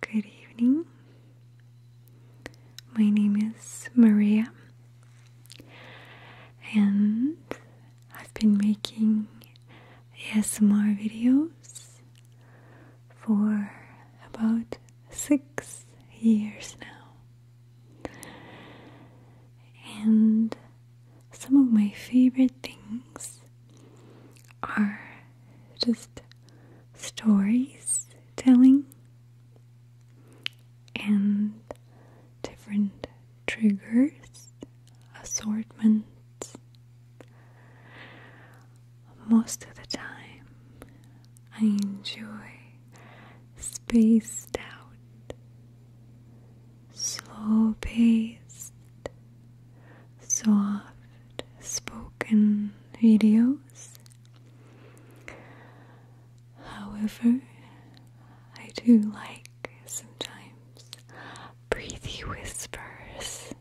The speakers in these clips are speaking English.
Good evening. My name is Maria, and I've been making ASMR videos for about six years now. And some of my favorite things are just stories telling and different triggers, assortment. Most of the time, I enjoy spaced out, slow paced soft spoken videos. However, I do like sometimes breathy whispers.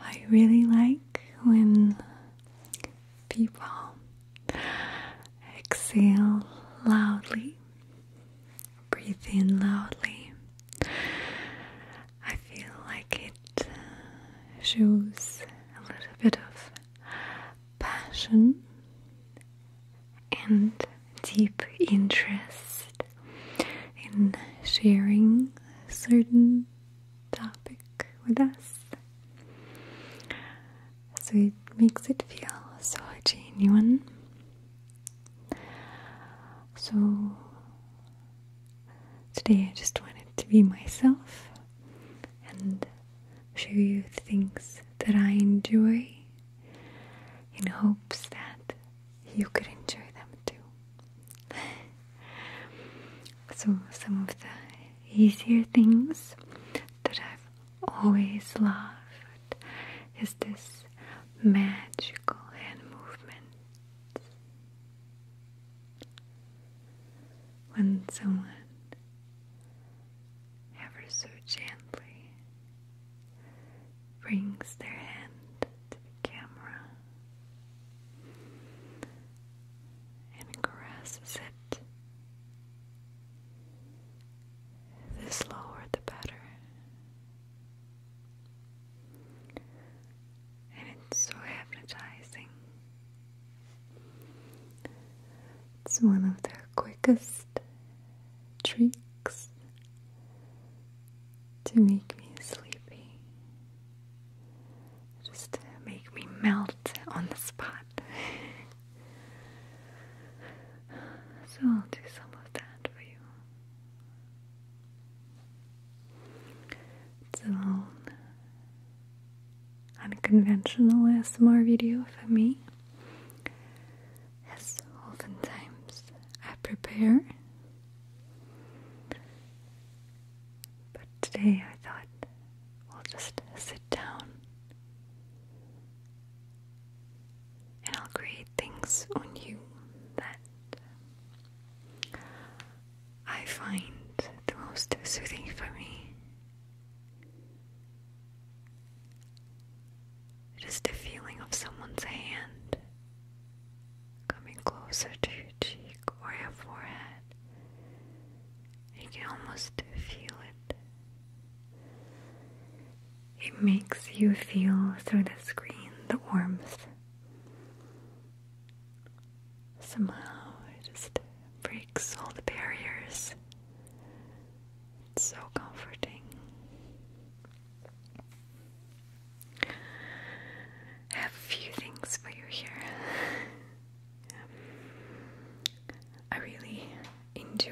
I really like when people exhale loudly Breathe in loudly. I feel like it uh, shows a little bit of passion and deep interest in sharing a certain topic with us. So it makes it feel so genuine so today I just wanted to be myself and show you things that I enjoy in hopes that you could enjoy them too. so, some of the easier things that I've always loved is this match magical hand movements. When someone ever so gently brings their hand to the camera and caresses it, the slower the better. And it's so hypnotizing. It's one of their quickest tricks to make me sleepy. Just to make me melt on the spot. so I'll do some of that for you. It's a unconventional ASMR video for me. As oftentimes I prepare. But today I thought we'll just sit down and I'll create things on you that I find the most soothing for me just the feeling of someone's hand coming closer to your cheek or your forehead. You can almost feel it. It makes you feel through the screen the warmth. Somehow it just breaks all the barriers. It's so comforting. I have a few things for you here. I really enjoy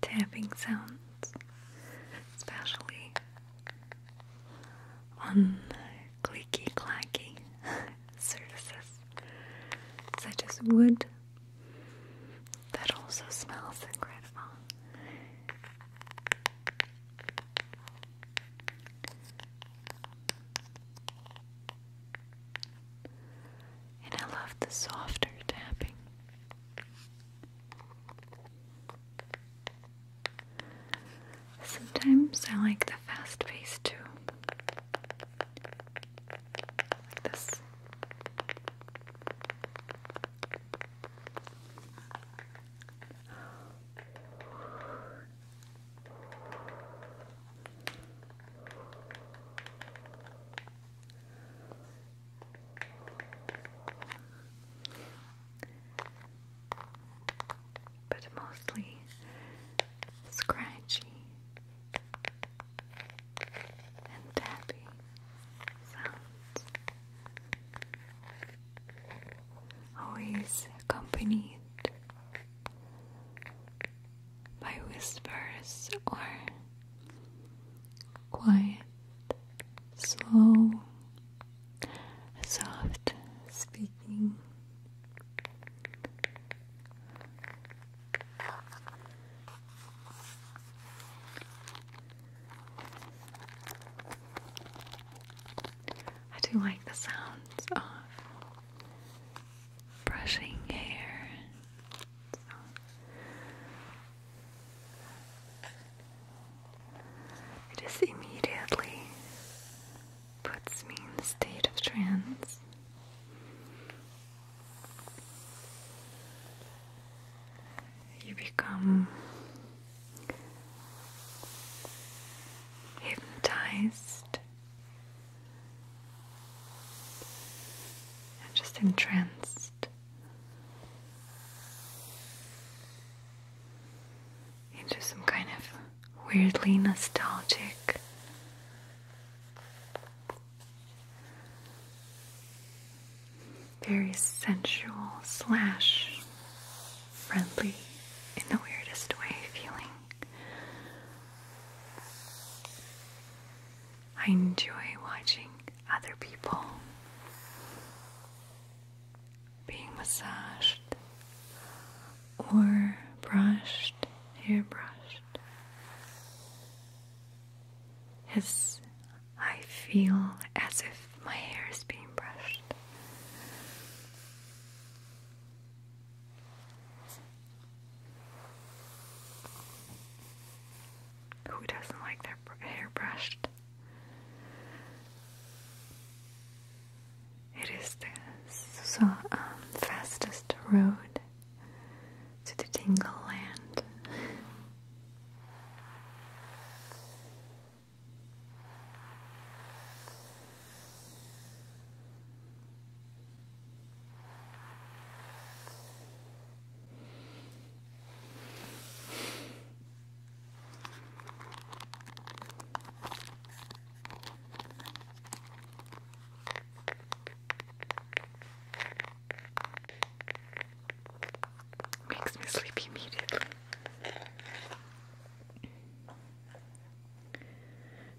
tapping sounds, especially on clicky clacky surfaces such as wood. That also smells incredible. And I love the softer tapping. Sometimes I like the fast pace too. Like this but mostly scratchy and tapping sounds, always accompanied by whispers or quiet slow, soft speaking. I do like the sounds of brushing hair. It just immediately puts me in the state of trance. You become hypnotized and just trance. Into some kind of weirdly nostalgic very sensual slash friendly in the weirdest way feeling I enjoy watching other people being massaged or brushed, hair brushed. As I feel as if my hair is being brushed. Who doesn't like their hair brushed? It is the um, fastest road to the Tingle Land. Makes me sleepy immediately.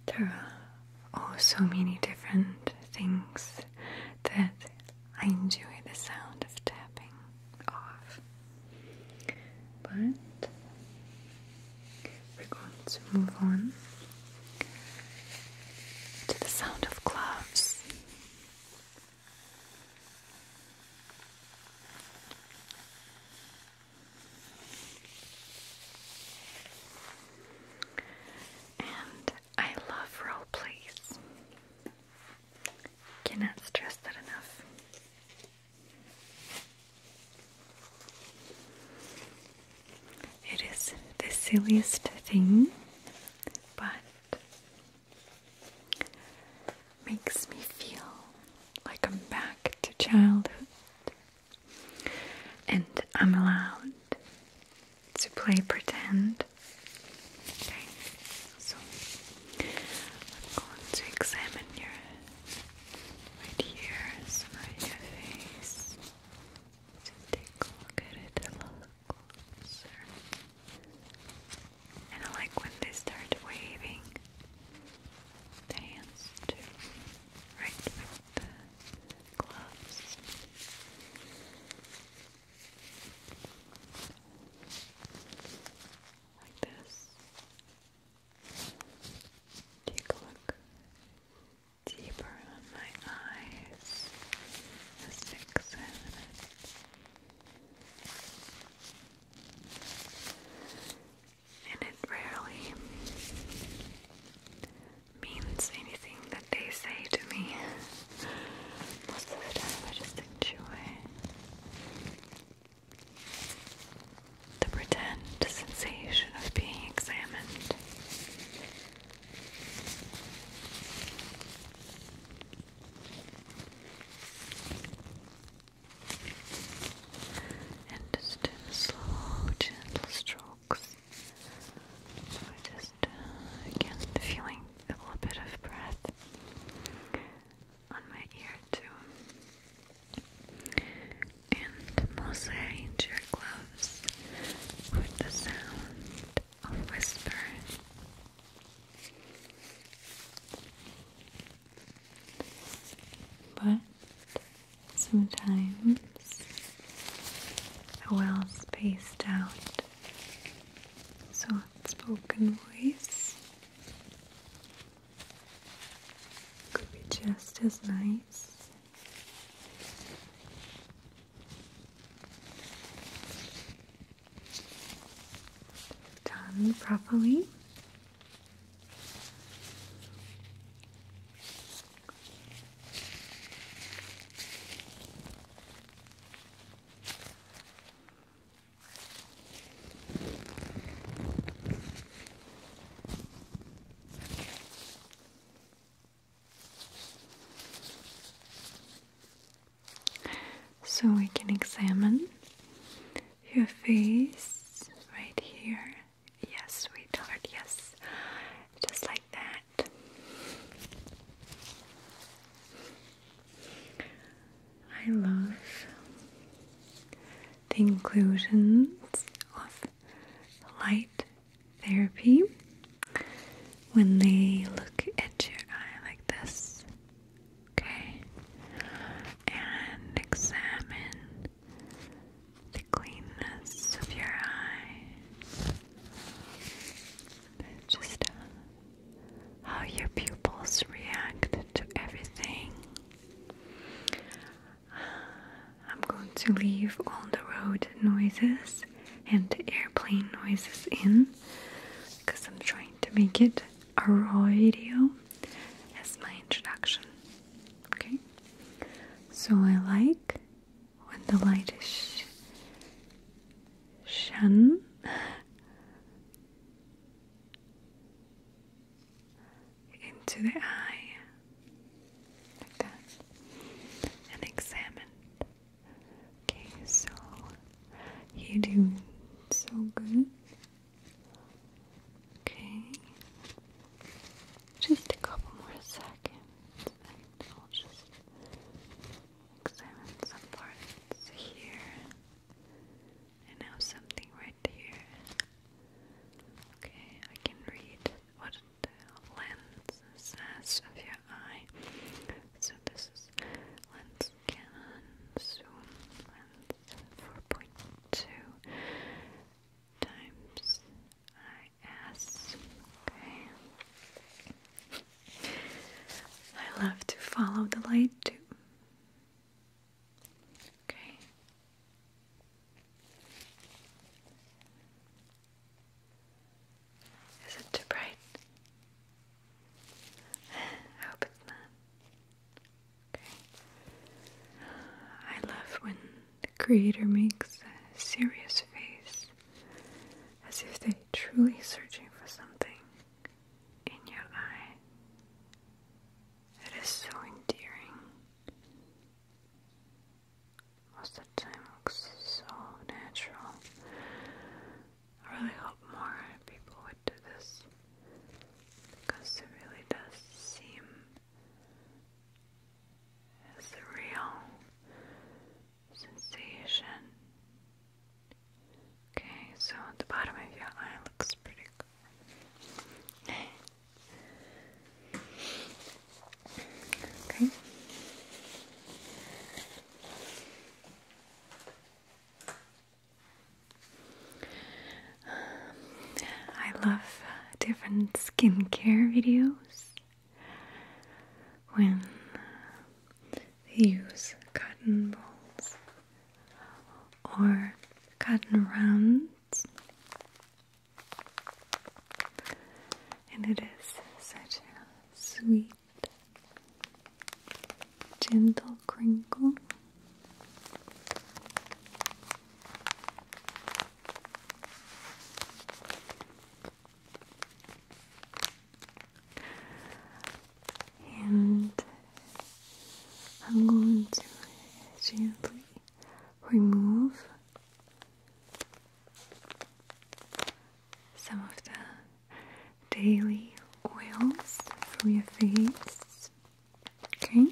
There are oh so many different things that I enjoy the sound of tapping off. But we're going to move on to the sound of gloves. And I love role plays. Cannot stress that enough. It is the silliest thing, but makes me feel like I'm back to childhood and I'm allowed to play pretend. Okay, so I'm going to examine your right here, around your face. Just take a look at it a little closer. And I like when they start waving the hands too, right with the gloves. Like this. Take a look deeper on my eyes. Just examine it. And it rarely means anything that they say to me. Most of the time I just enjoy the pretend sensation of being examined. And just slow, gentle strokes just uh, again feeling a little bit of breath on my ear too. And mostly I enjoy gloves with the sound of whispering. But sometimes a well spaced out so spoken voice could be just as nice. Done properly. So we can examine your face right here. Yes, sweetheart, yes. Just like that. I love the inclusions of light therapy when they look at your eye like this, okay, and examine the cleanness of your eye just uh, how your pupils react to everything. I'm going to leave all the road noises and the airplane noises in because I'm trying to make it a raw video as my introduction. Okay, so I like when the light is shone Into the eye, like that, and examined. Okay, so you do so good. Okay, just a couple more seconds, and I'll just examine some parts here and now something right here. Okay, I can read what the lens says of your eye. So this is lens Canon zoom lens 4.2 times IS. Okay. I love to follow the light too. Okay. Is it too bright? I hope it's not. Okay. I love when the creator makes a serious face as if they truly searching for something in your eye. It is so endearing. Most of the time looks so natural. I really hope more people would do this because it really does seem as sensation. Okay, so the bottom of your eye looks pretty good. okay. Um, I love different skincare videos when they use cotton balls or cotton rounds, and it is such a sweet, gentle crinkle. And I'm going to gently remove some of the daily oils from your face. Okay?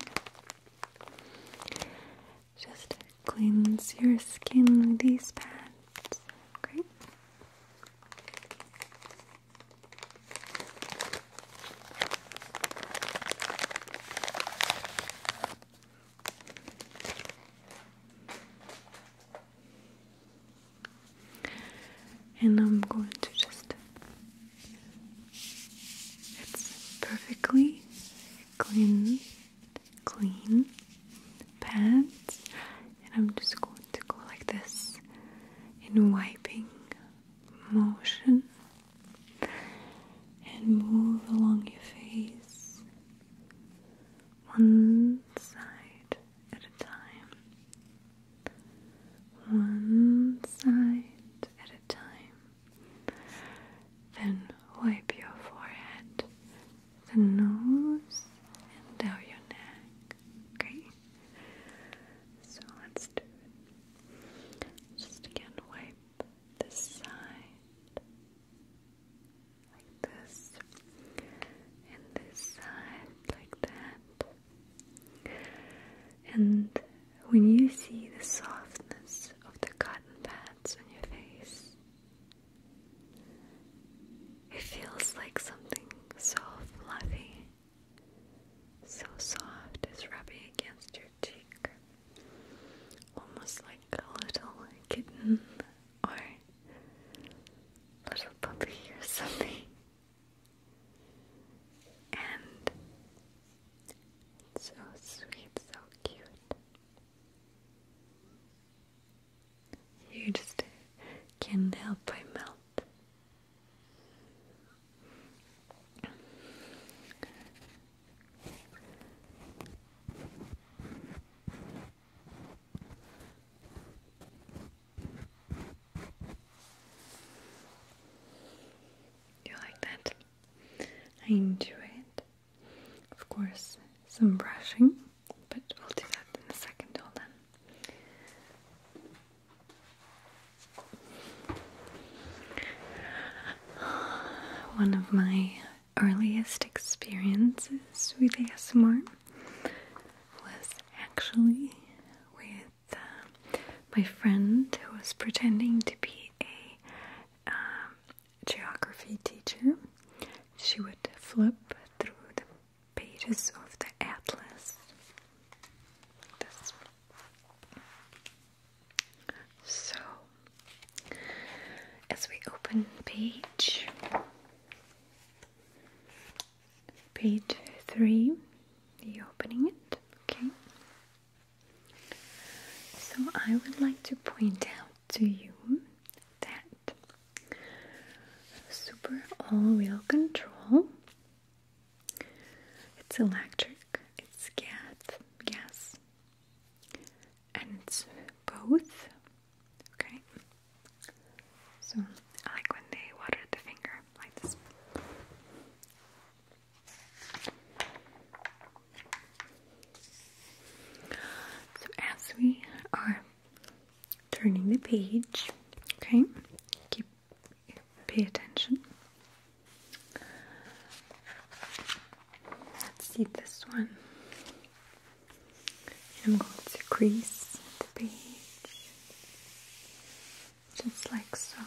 Just cleanse your skin with these pads. And I'm going to just, it's perfectly clean clean pants, and I'm just going to go like this in wiping motion and move along your face one side at a time one side at a time then wipe your forehead the nose and down your neck. Okay? So let's do it. Just again wipe this side like this and this side like that. And when you see the softness of the cotton pads on your face, it feels like something so fluffy, so soft is rubbing against your cheek, almost like a little kitten or little puppy or something. And so sweet, so cute. You just can't help but melt. You like that? I enjoy it. Of course, some brushing but we'll do that in a second, hold on. One of my earliest experiences with ASMR was actually with uh, my friend who was pretending to be a um, geography teacher she would flip through the pages of the atlas. So, as we open page, page three, you opening it, okay? So, I would like to point out to you that Super all-wheel control. It's electric, it's gas, gas, and it's both. Okay. So I like when they water the finger like this. So as we are turning the page. Okay, keep pay attention. Let's see this one. I'm going to crease the page just like so.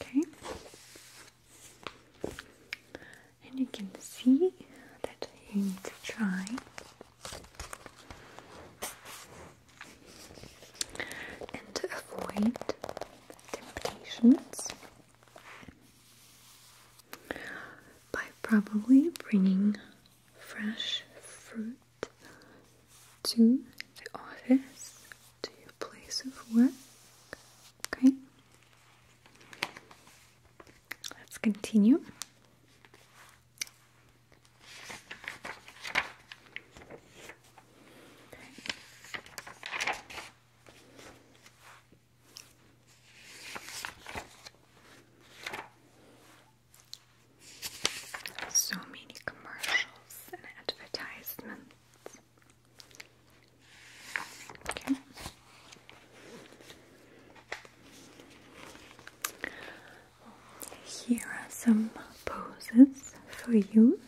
Okay and you can see that you need to try and to avoid temptations by probably bringing fresh fruit to the office, to your place of work. Okay? Let's continue. So many commercials and advertisements. Okay. Here are some poses for you,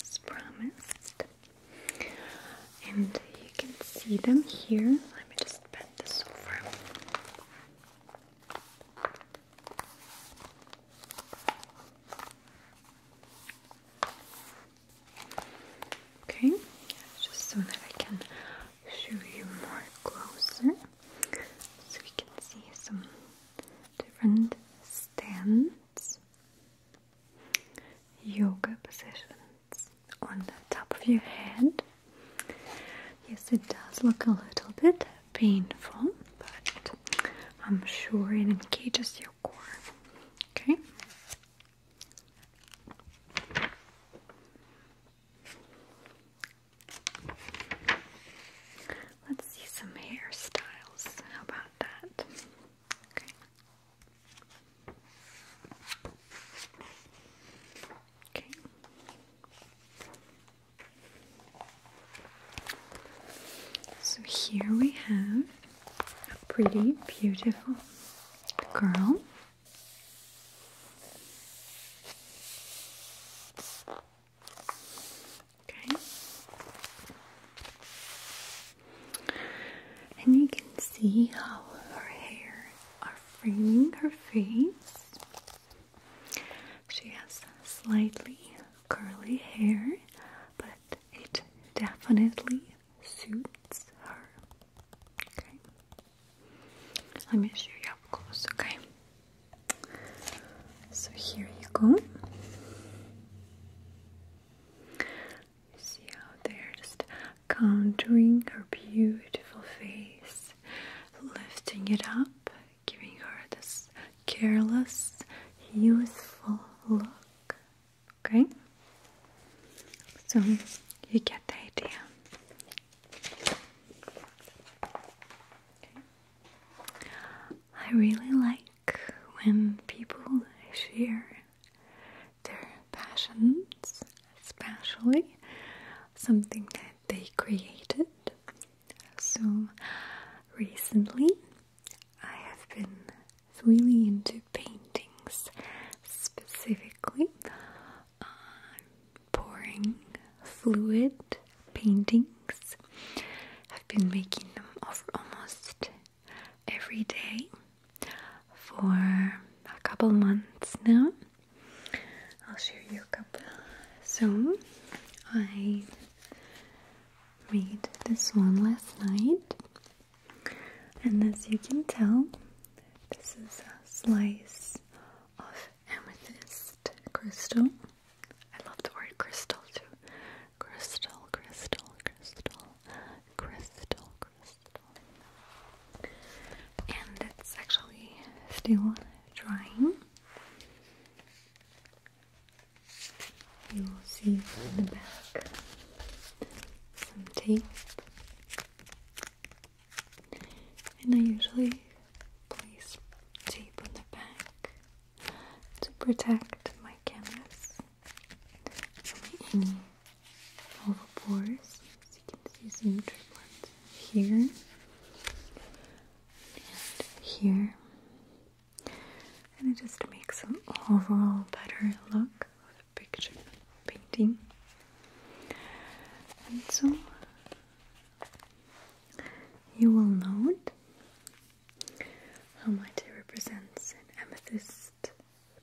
as promised, and you can see them here. Let me just bend this over. Okay, just so that I can show you more closer so you can see some different stands, yoga positions on the top of your head. Yes, it does look a little bit painful, but I'm sure it engages your core. Okay, Let's see some hairstyles. How about that? Okay. Okay. So here we have a pretty, beautiful girl Okay. And you can see how her hair are framing her face. She has slightly curly hair, but it definitely suits her. Okay. Let me show you up close, okay? So here you go. You see how they're just contouring her beautiful face, lifting it up, giving her this careless, youthful look. Okay? So you get the idea. I really like when people share their passions, especially something that they created. So recently I have been really into paintings specifically pouring fluid paintings. I've been making them over almost every day for a couple months now. I'll show you a couple. So, I made this one last night. And as you can tell, this is a slice of amethyst crystal. I love the word crystal too. Crystal, crystal, crystal, crystal, crystal. And it's actually still drying. You will see in the back some tape and I usually place tape on the back to protect my canvas from any oval pores. As you can see some triplets here and here, and it just makes an overall better look picture painting. And so you will note how my it represents an amethyst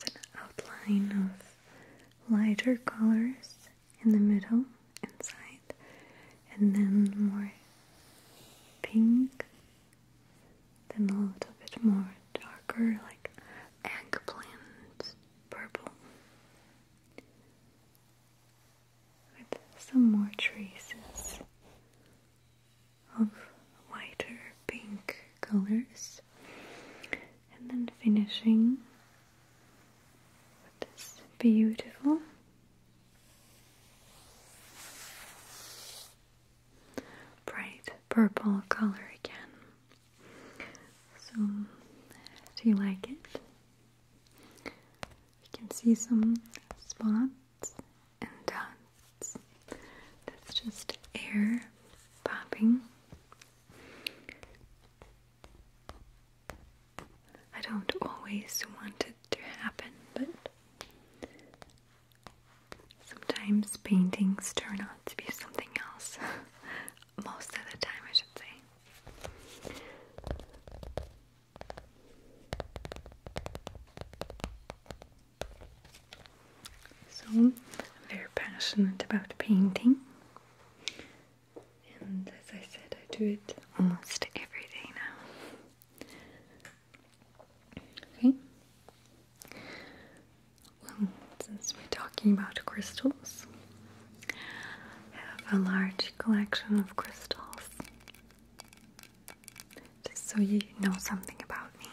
with an outline of lighter colors in the middle inside and then more pink then a little bit more darker like eggplant purple with some more traces of whiter pink colors and then finishing with this beautiful bright purple color again so, do you like it? You can see some spots and dots. That's just air popping. I don't always want it to happen, but sometimes paintings turn out to be something else most of the time, I should say. So, am very passionate about painting, and as I said, I do it almost every day now. Okay, since we're talking about crystals, I have a large collection of crystals. Just so you know something about me.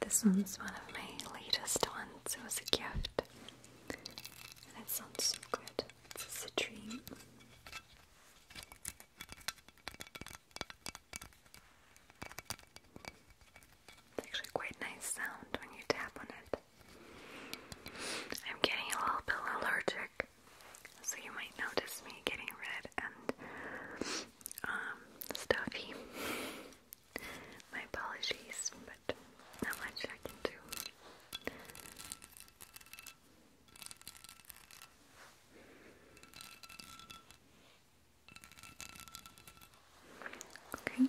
This one's one of my latest ones. It was a gift. And it sounds so good. It's just it's actually quite nice sound when you tap on it. I'm getting a little bit allergic, so you might notice me getting red and um, stuffy. My apologies, but not much I can do. Okay.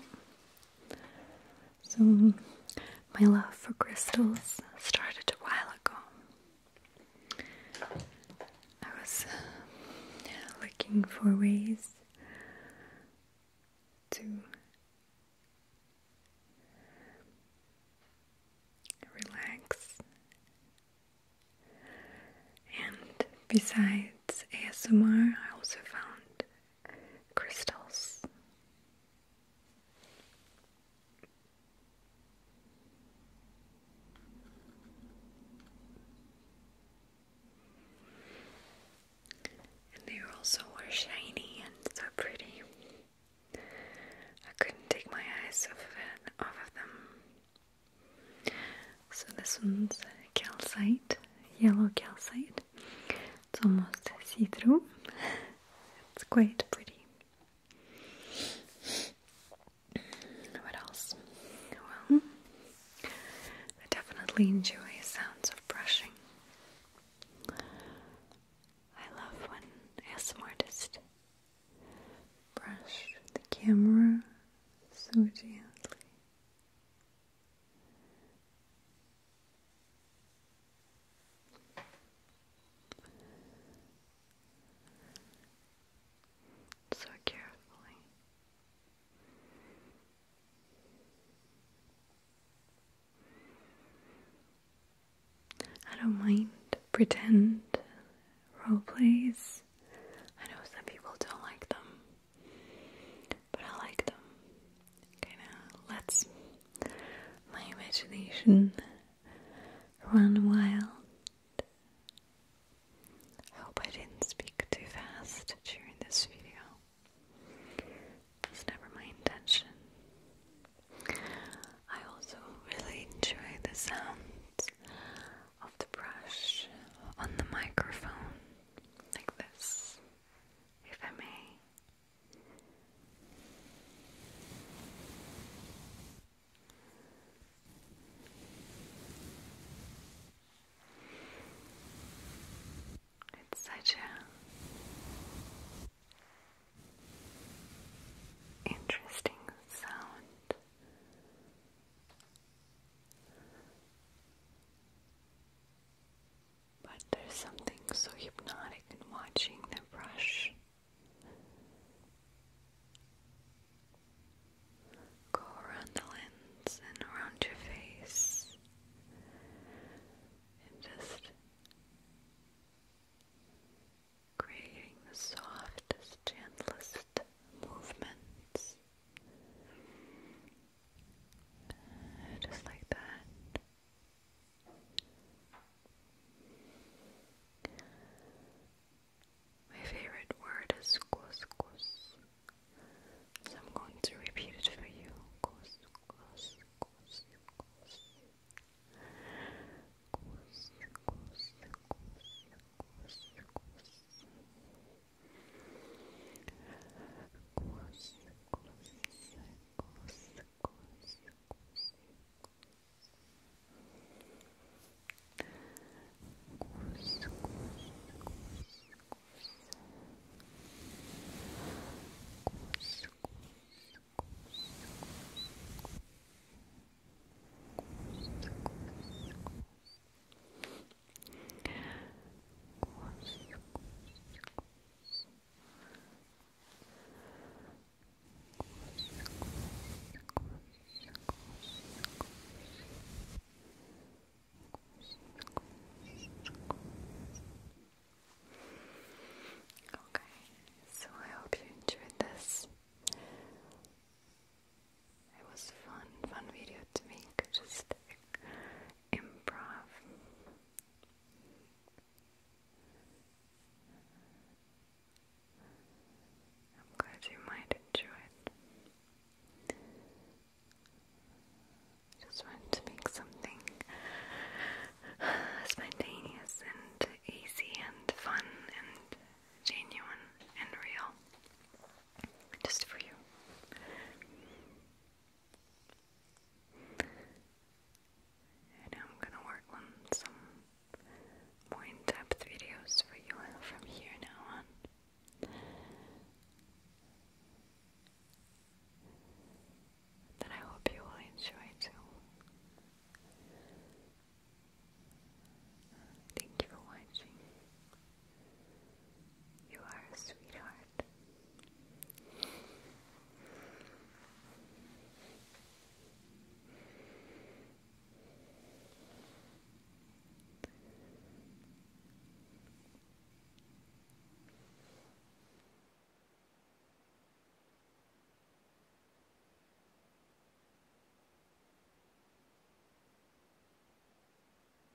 So, my love for crystals started a while ago. I was looking for ways to relax and Besides ASMR, I also found crystals. And they also were shiny and so pretty. I couldn't take my eyes off of them. So this one's calcite, yellow calcite. It's almost see-through. It's quite pretty. What else? Well, I definitely enjoy sounds of brushing. I love when ASMR artist the camera so gently so carefully. I don't mind pretend role plays. I know some people don't like them but I like them. let's my imagination run wild. I hope I didn't speak too fast during this video. It's never my intention. I also really enjoy the sound of the brush on the microphone like this, if I may. It's such a interesting sound. But there's something so hypnotic in watching them brush. Go around the lens and around your face and just creating the softest, gentlest movements. Just like that. My favorite word is cos cos. So I'm going to repeat it for you. Cos cos course, course, course, course, course. Course, course, course, course. Course, course, course, course. Course, course, course course, Okay, so I hope you enjoyed this it was fun, fun video to make, just improv. I'm glad you might enjoy it. Just wanted to make something spontaneous and easy and fun and genuine and real. Just for you. And I'm gonna work on some more in depth videos for you from here now on. That I hope you will enjoy too. Thank you for watching. You are a sweetheart.